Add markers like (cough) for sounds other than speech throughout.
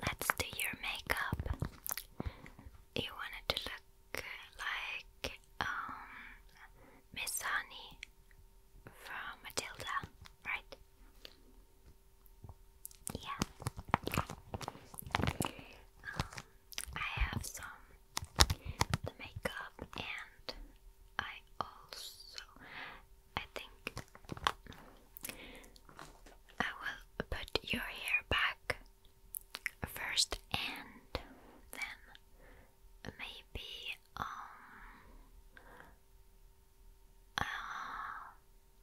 Let's do your makeup. You wanted to look like um, Miss Honey from Matilda right? Yeah. Um, I have some makeup, and I also, I think, I will put your hair back first, and then maybe um uh,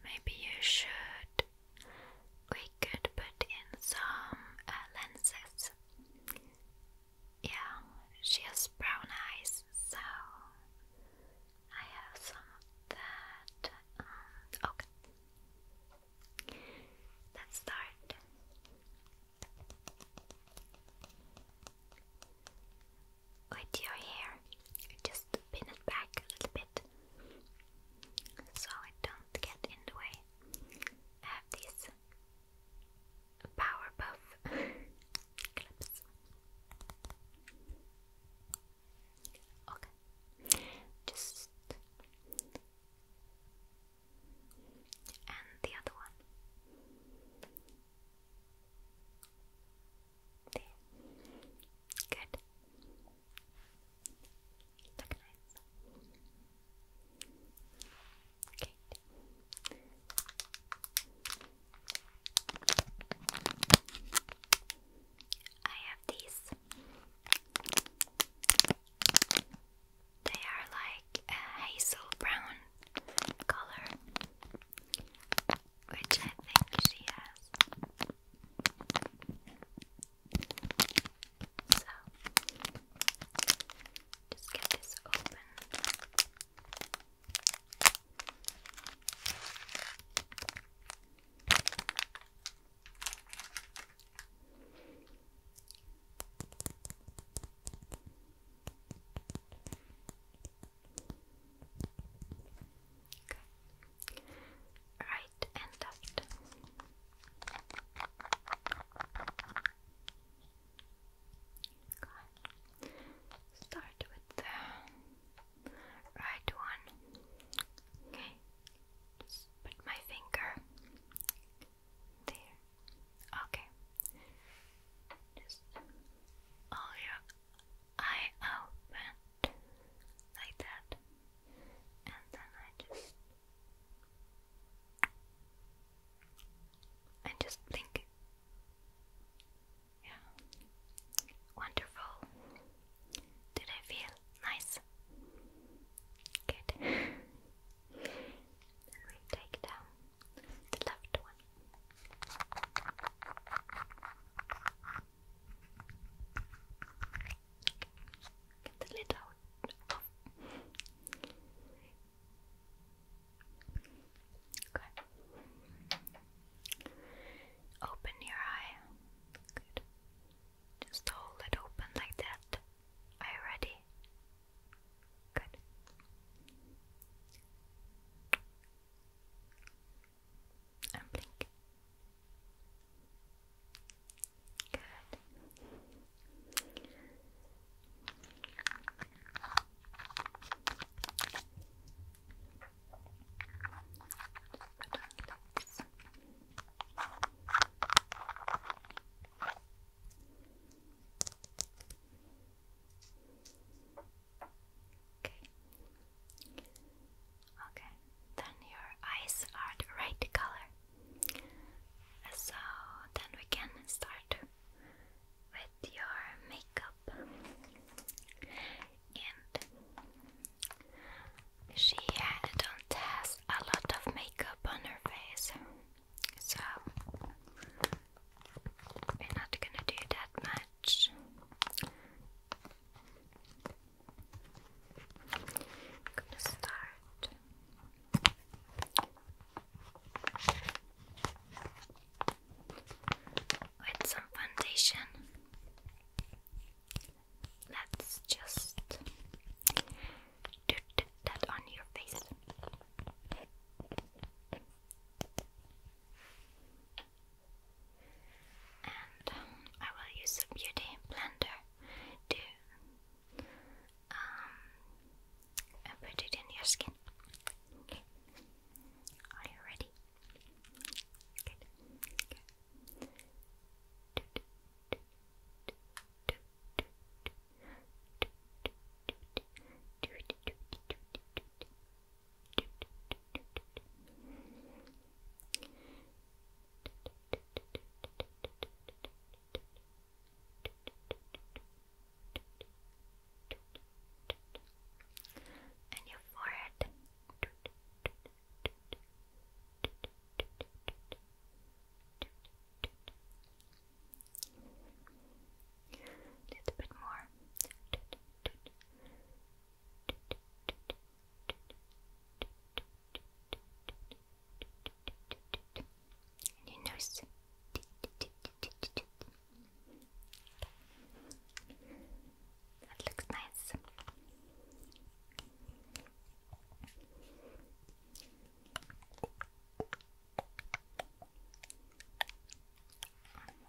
maybe you should. We could put in some uh, lenses. Yeah, she has brown eyes, so I have some that. Um, okay, let's start with your hair. Just pin it back a little bit so it don't get in the way. I have these power puff (laughs) clips. Okay, just and the other one. Good. Look nice. Okay. I have these. They are like a hazel brown color which I think she has. So, just get this open. Okay. Okay. Right and left. Okay. Start with the right one. Okay. put my finger there. Okay. Just all your eye open like that, and then I just and just blink. Yeah, wonderful. Did I feel nice? Good. (laughs) then we take down the left one the lid out. Good. Open your eye. Good. Just hold it open like that. Are you ready? Good and blink. Good. Just put our lips. Okay. Okay. Then your eyes are the right color. So then we can start with your makeup. And she had not has a lot of makeup on her face, so we're not gonna do that much. I'm gonna start with some foundation. Let's just do that on your face and um, I will use a beauty blender to um, put it in your skin. Are you ready? and your forehead. A bit more and your nose. That looks nice.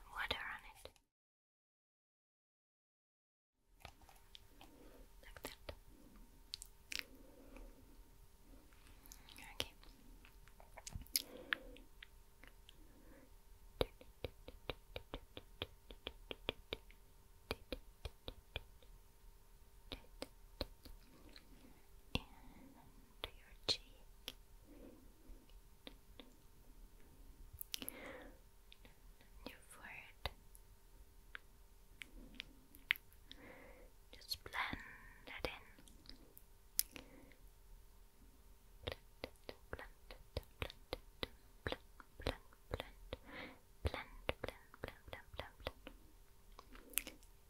Water on it. Like that. Okay. And your cheek and your Just blend that in. Blend it, blend it, blend, blend, blend, blend, blend, blend, blend, blend, blend. Blend, blend,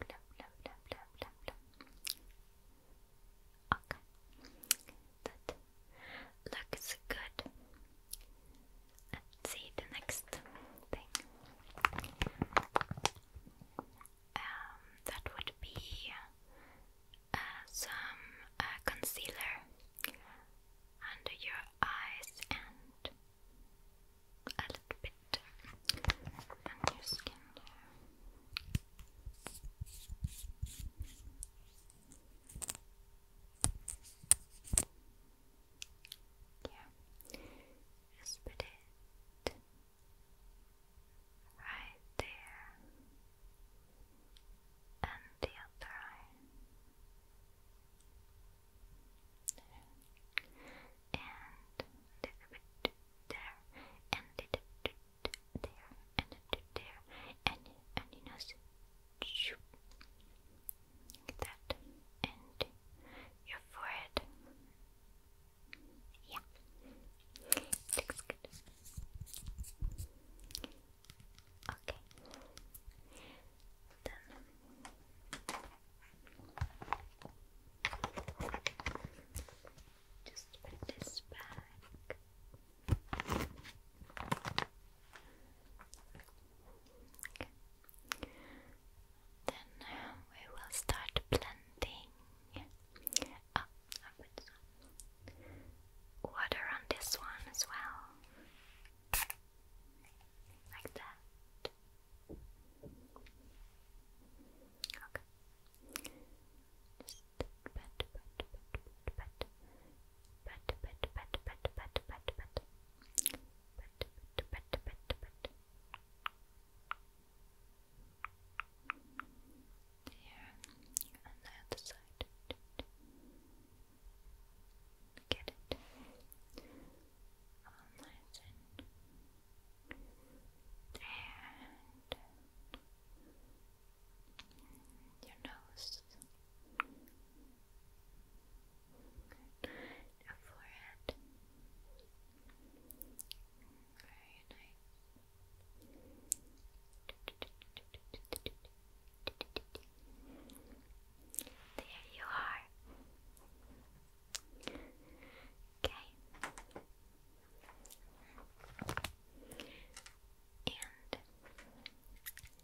blend, blend, blend, blend. Okay that looks good. Let's see the next thing. Um, that would be uh, some uh, concealer under your eyes and a little bit on your skin yeah. Just put it right there. And the other eye. And a little bit there. And a little bit there. And a little there. And, and your nose. Like that. And your forehead. Yeah. Looks good. Okay. Then just put this back. Then uh, we will start blending water on this one as well, like that. Okay pat pat pat pat pat pat pat pat pat pat pat here on the other side get it all nice and and your nose Good. Your forehead. Very nice. There you are. Okay. And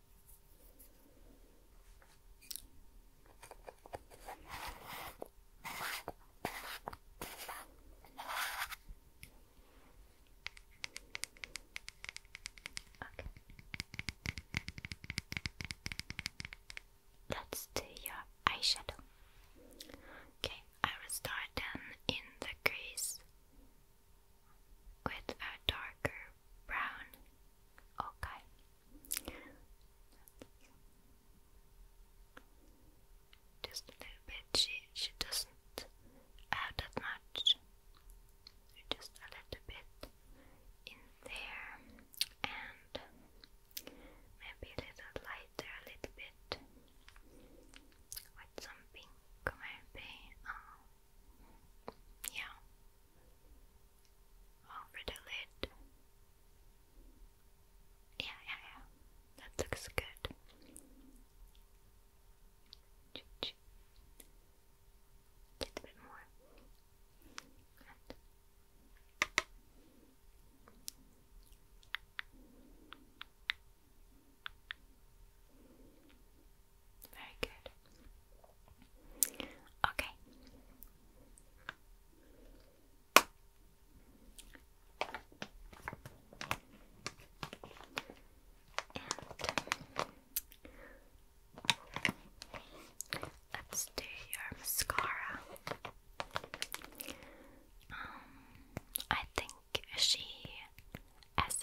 Okay. Let's do your eyeshadow. Okay, I will start then in the crease with a darker brown. Okay. Just a little bit. She she doesn't have that much. Just a little bit in there, and maybe a little lighter, a little bit with some pink maybe. Oh, yeah, over the lid. Yeah, yeah, yeah. That looks good. Just a bit more. very good. Okay. let's do your mascara. Um, I think she, as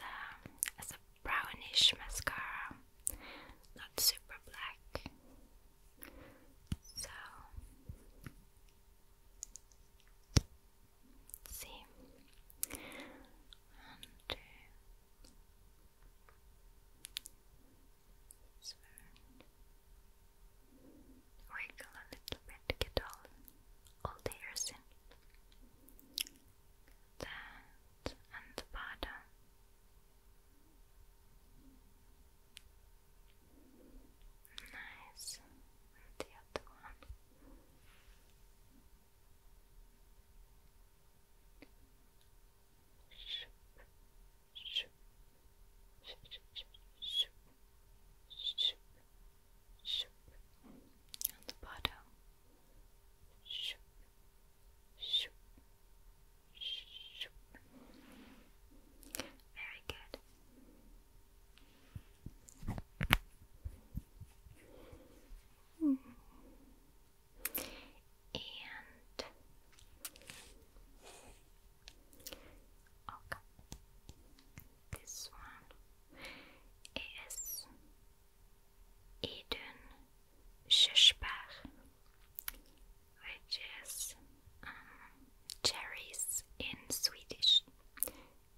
a brownish mascara, not super black. So, let's wiggle a little bit to get all, all the hairs in. and the bottom. Nice. And the other one. Shoop, shoop, shoop, shoop, shoop, shoop, On the bottom. Shoop, Shoop. Shoop. Very good. And okay, this one is Eden shishbach, which is um, cherries in Swedish.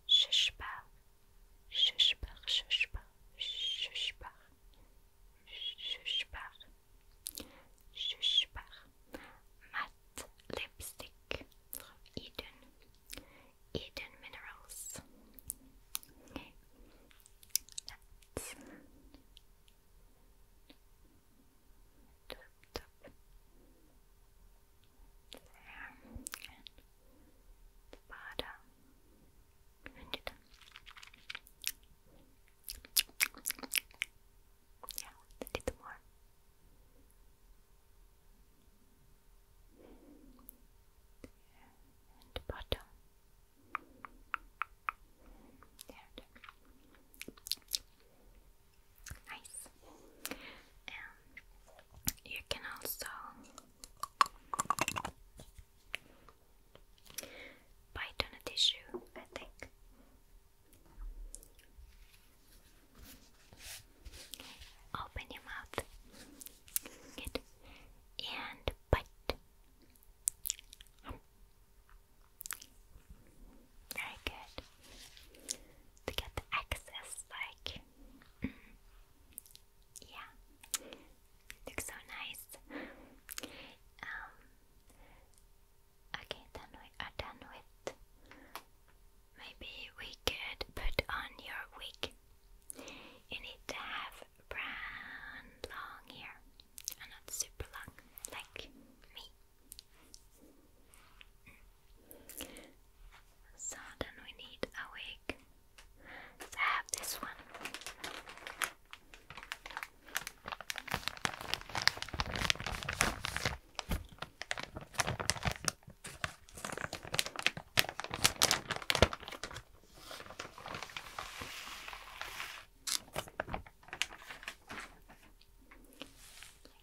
Shishbach, shishbach, shishbach, shishbach, shishbach, shishbach. Matte lipstick from Eden, Eden Minerals. Tap, tap. And bottom. Yeah, a little more. And bottom. There, Nice. you can also bite on a tissue, I think. Open your mouth. Good. And bite. Very good. To get the excess, like, mm-hmm. yeah, looks so nice. Um, okay, then we are done with. Maybe we could put on your wig. You need to have brown long hair are not super long like me. So then we need a wig. So I have this one. Like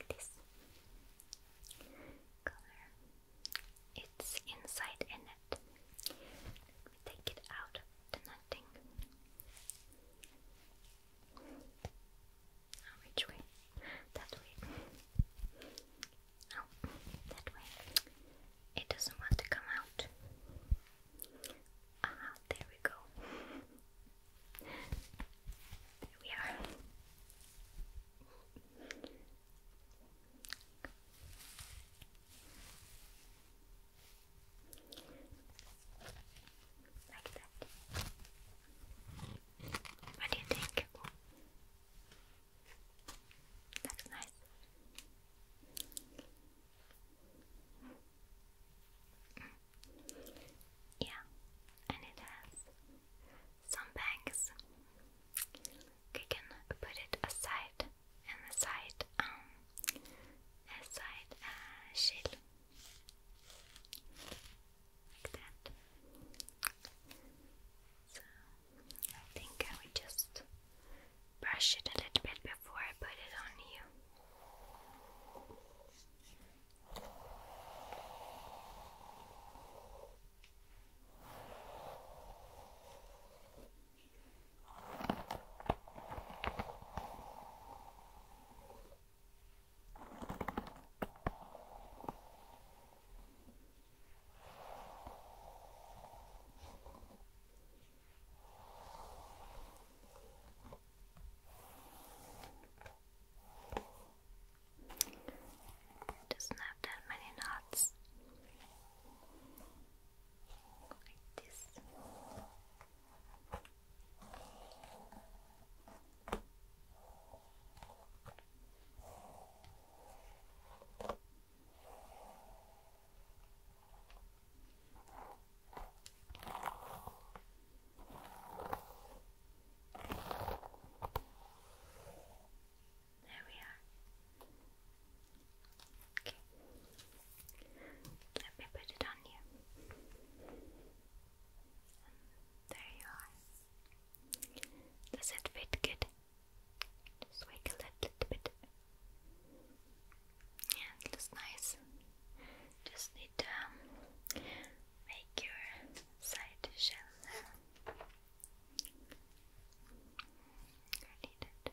this color. It's inside a net. Let me take it out the netting. which way? That way. No, that way. It doesn't want to come out. Ah, there we go. There we are. Like that. What do you think? That's nice. Yeah, and it has some bags. You can put it aside and aside, aside um, uh, shield like that. So I think I will just brush it a little bit before I put it on you. Okay. It doesn't have that many knots. Like this. There we are. Okay. Let me put it on you. there you are. Does it fit good? Just wiggle it a little bit. Yeah, it looks nice. Just need to um, make your side shell there. need it.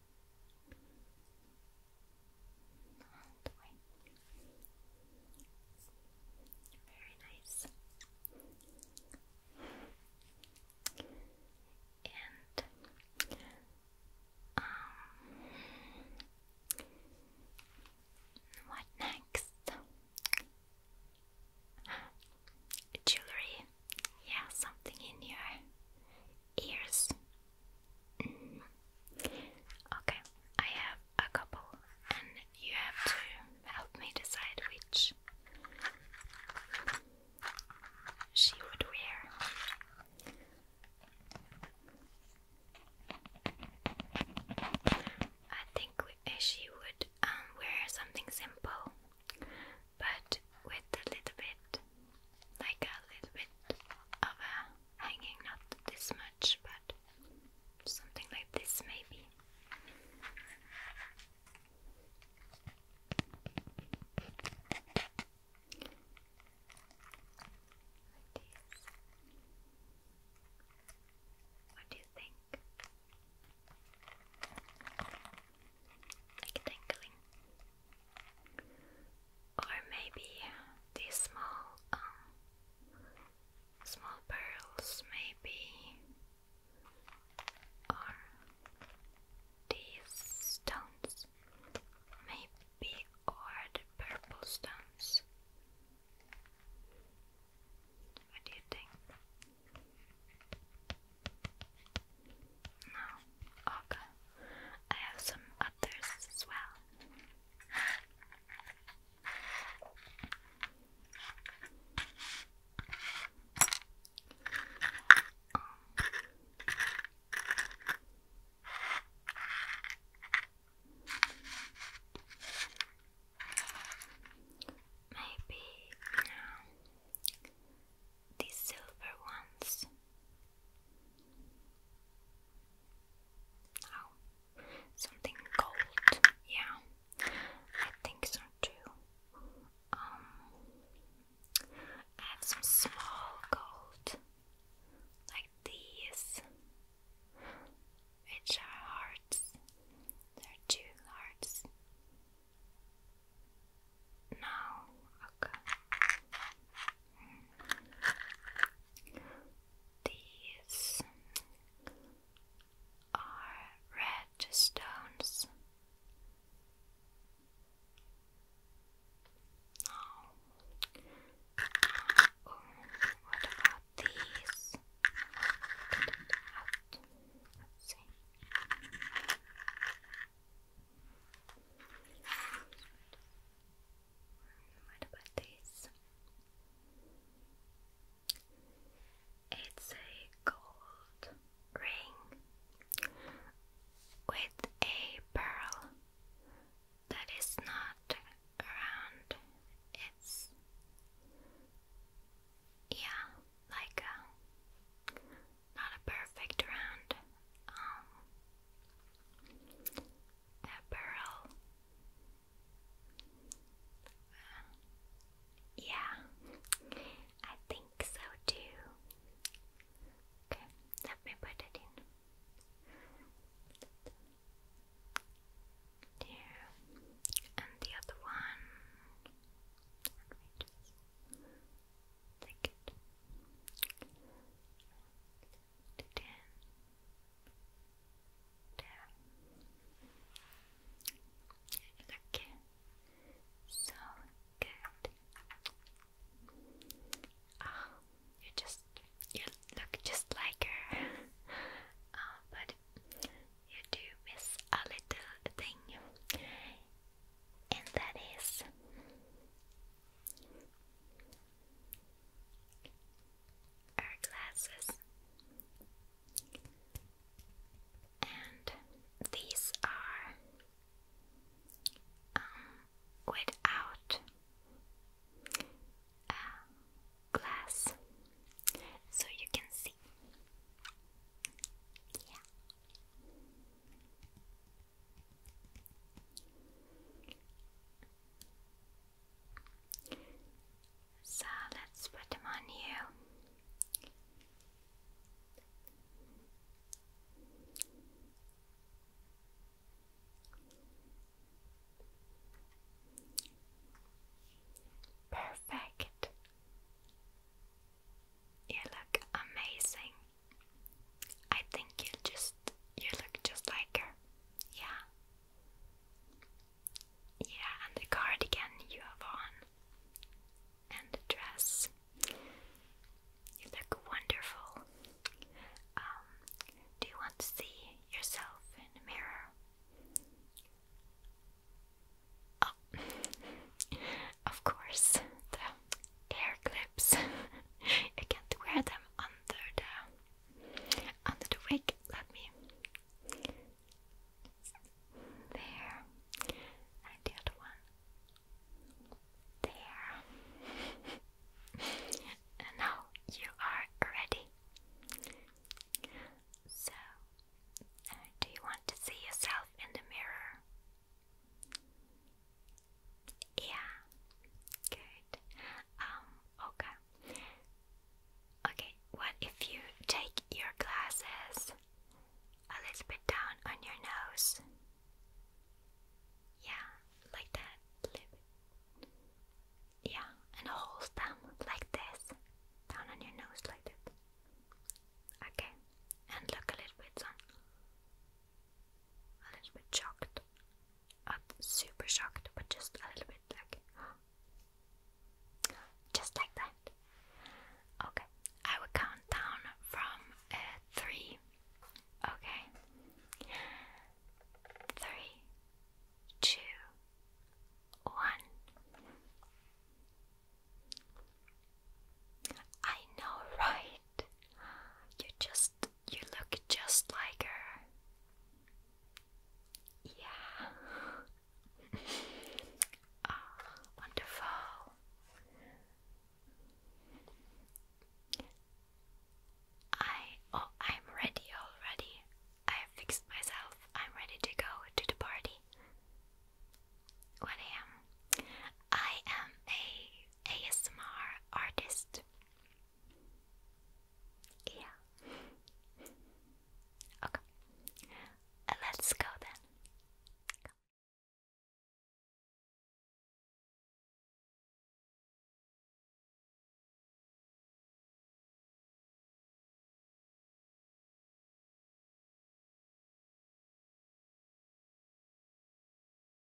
That way. Very nice. And um, what next? Jewelry yeah, something in your ears. Mm. Okay, I have a couple, and you have to help me decide which she would wear. I think uh, she would um, wear something simple but with a little bit, like a little bit of a hanging, not this much, but something like this maybe. What do you think? like dangling. Or maybe these small, um, small pearls, maybe, or these stones, maybe, or the purple stones. What do you think? No, okay. Oh, I have some others as well. Maybe you these silver ones. Oh, something gold. Yeah, I think so too. Um, I have some small gold like these, which are hearts. They're two hearts now. Okay. These are red stones. Oh, what about these? Let's see. What about this? It's a gold ring with a pearl that is not around. It's yeah, like a not a perfect round um, a pearl yeah I think so too okay let me put it in there and the other one like Look. So good. you just you look just like her. oh, but you do miss a little thing, and that is our glasses, and these are um, without uh, glass, so you can see. Yeah. So let's put them on you. Perfect. You look amazing. I think you'll just you look just like her. Yeah. Yeah, and the cardigan you have on. And the dress. You look wonderful. Um, do you want to see yourself in the mirror? Oh. (laughs) of course, hair clips. (laughs) I can't wear them under the under the wig. Let me there and the other one there. (laughs) and now you are ready. So, uh, do you want to see yourself in the mirror? Yeah. Good. Um, okay. Okay, what if you take your glasses a little bit down on your nose? Yeah, like that. Yeah, and hold them like this. Down on your nose like that. Okay, and look a little bit on a little bit shocked. super shocked, but just a little bit like. Just like that. Okay, I will count down from uh, three. Okay. Three, two, one. I know, right? You just you look just like her. Yeah. oh, (laughs) wonderful. I oh I'm ready already. I fixed myself. I'm ready to go to the party. What am I am a ASMR artist. Yeah. okay. Let's go then.